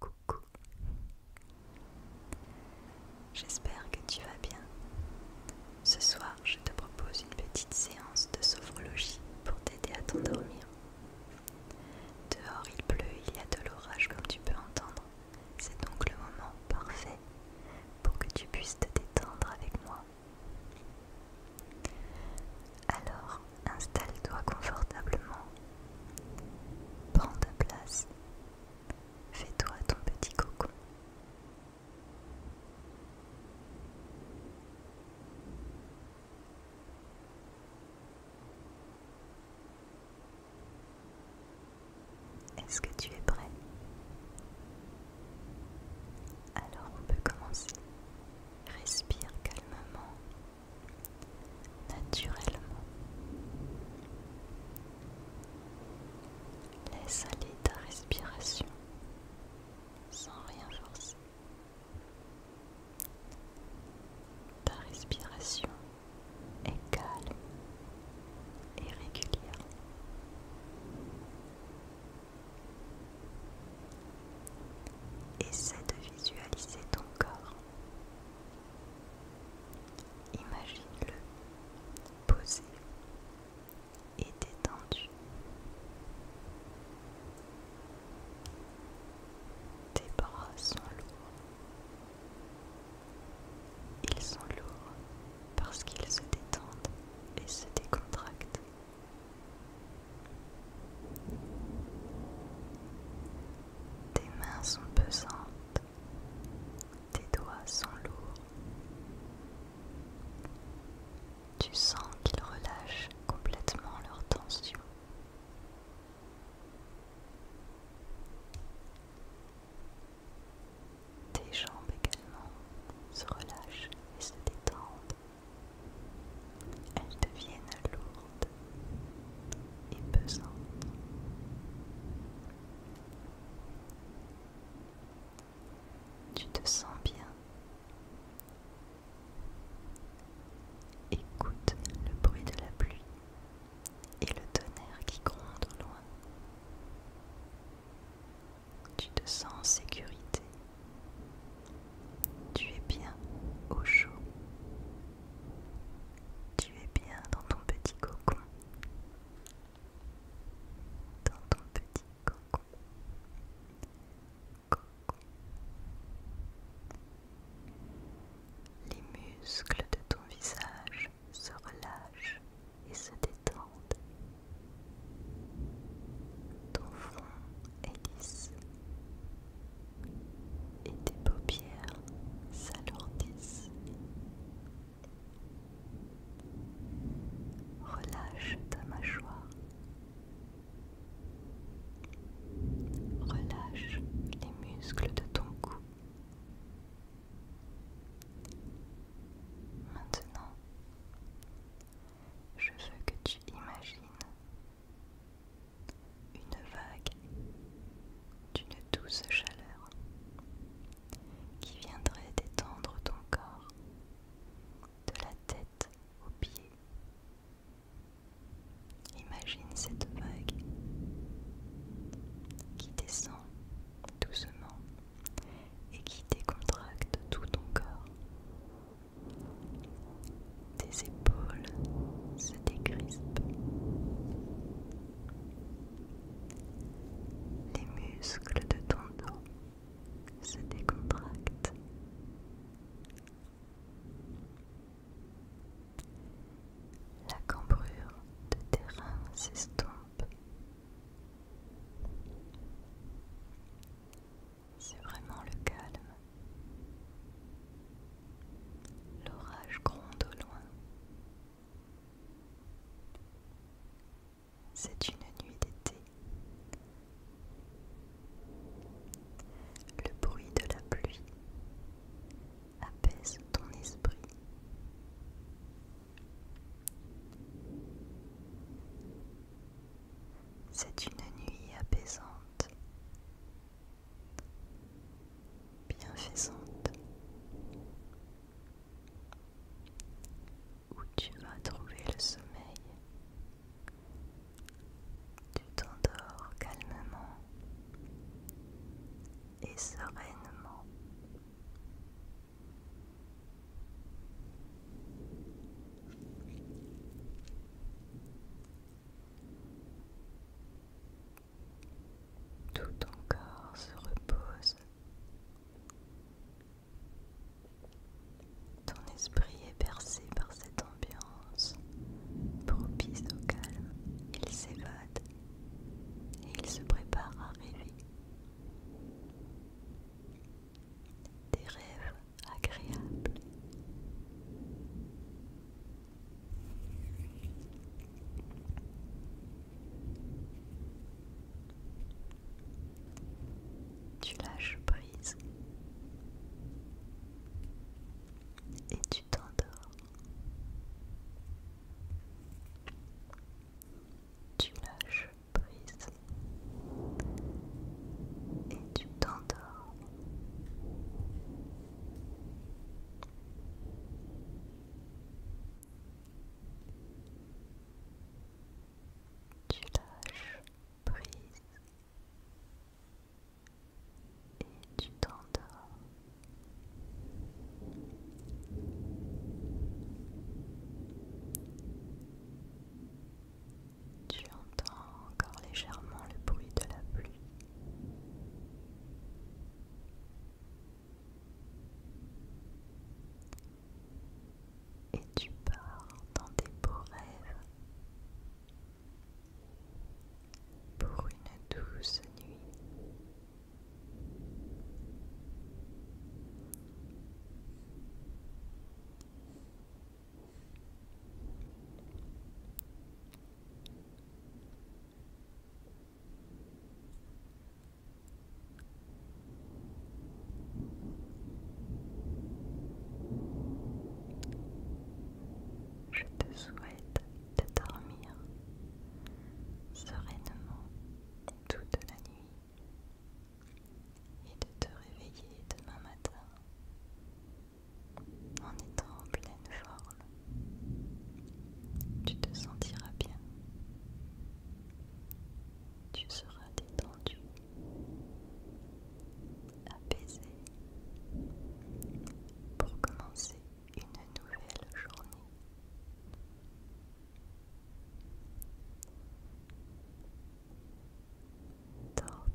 Coucou. J'espère que tu vas bien. Ce soir, je te propose une petite séance de sophrologie pour t'aider à t'endormir. Dehors, il pleut, il y a de l'orage comme tu peux entendre. C'est donc le moment parfait pour que tu puisses te détendre avec moi. Alors, installe-toi confortablement. Prends ta place. Fais-toi ton petit cocon. Est-ce que tu es prêt Alors on peut commencer. Respire calmement naturellement. Laisse aller ta respiration sans rien forcer. Ta respiration est calme et régulière. Essaie de visualiser ton corps Imagine-le posé et détendu. Tes bras sont lourds. Ils sont lourds parce qu'ils se détendent et se décontractent. Tes mains sont pesantes, tes doigts sont lourds. Tu sens qu'ils relâchent complètement leur tension. Tes jambes également se relâchent et se détendent. Elles deviennent lourdes et pesante. Tu te sens bien. Écoute le bruit de la pluie et le tonnerre qui gronde au loin. Tu te sens en sécurité. Tu es bien au chaud tu es bien dans ton petit cocon. Dans ton petit cocon. Les muscles de ton visage se relâchent et se détendent. Ton front est lisse et tes paupières s'alourdissent. Relâche ta mâchoire. Relâche les muscles de ton cou. Maintenant, je veux que tu imagines une vague d'une douce chaleur qui viendrait détendre ton corps de la tête aux pieds. Imagine cette vague qui descend doucement et qui décontracte tout ton corps. Tes épaules les muscles de ton dos se décontractent. La cambrure de terrain s'estompe. C'est vraiment le calme. L'orage gronde au loin. C'est une nuit d'été. Le bruit de la pluie apaise ton esprit. C'est une nuit apaisante bienfaisante où tu vas trouver le sommeil. Tu t'endors calmement et sereinement. Tout ton corps se repose. Ton esprit est bercé par cette ambiance propice au calme. Il s'évade et il se prépare à rêver. Des rêves agréables. Tu lâches prise et tu t'endors. Tu lâches prise et tu t'endors. Tu lâches prise et tu t'endors. Tu entends encore légèrement le bruit de la pluie. Et tu pars dans tes beaux rêves pour une douce nuit. Je te souhaite de dormir sereinement toute la nuit et de te réveiller demain matin en étant en pleine forme tu te sentiras bien, tu seras détendu, apaisé pour commencer une nouvelle journée.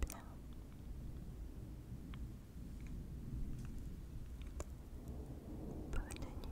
bien. Bonne nuit et à bientôt.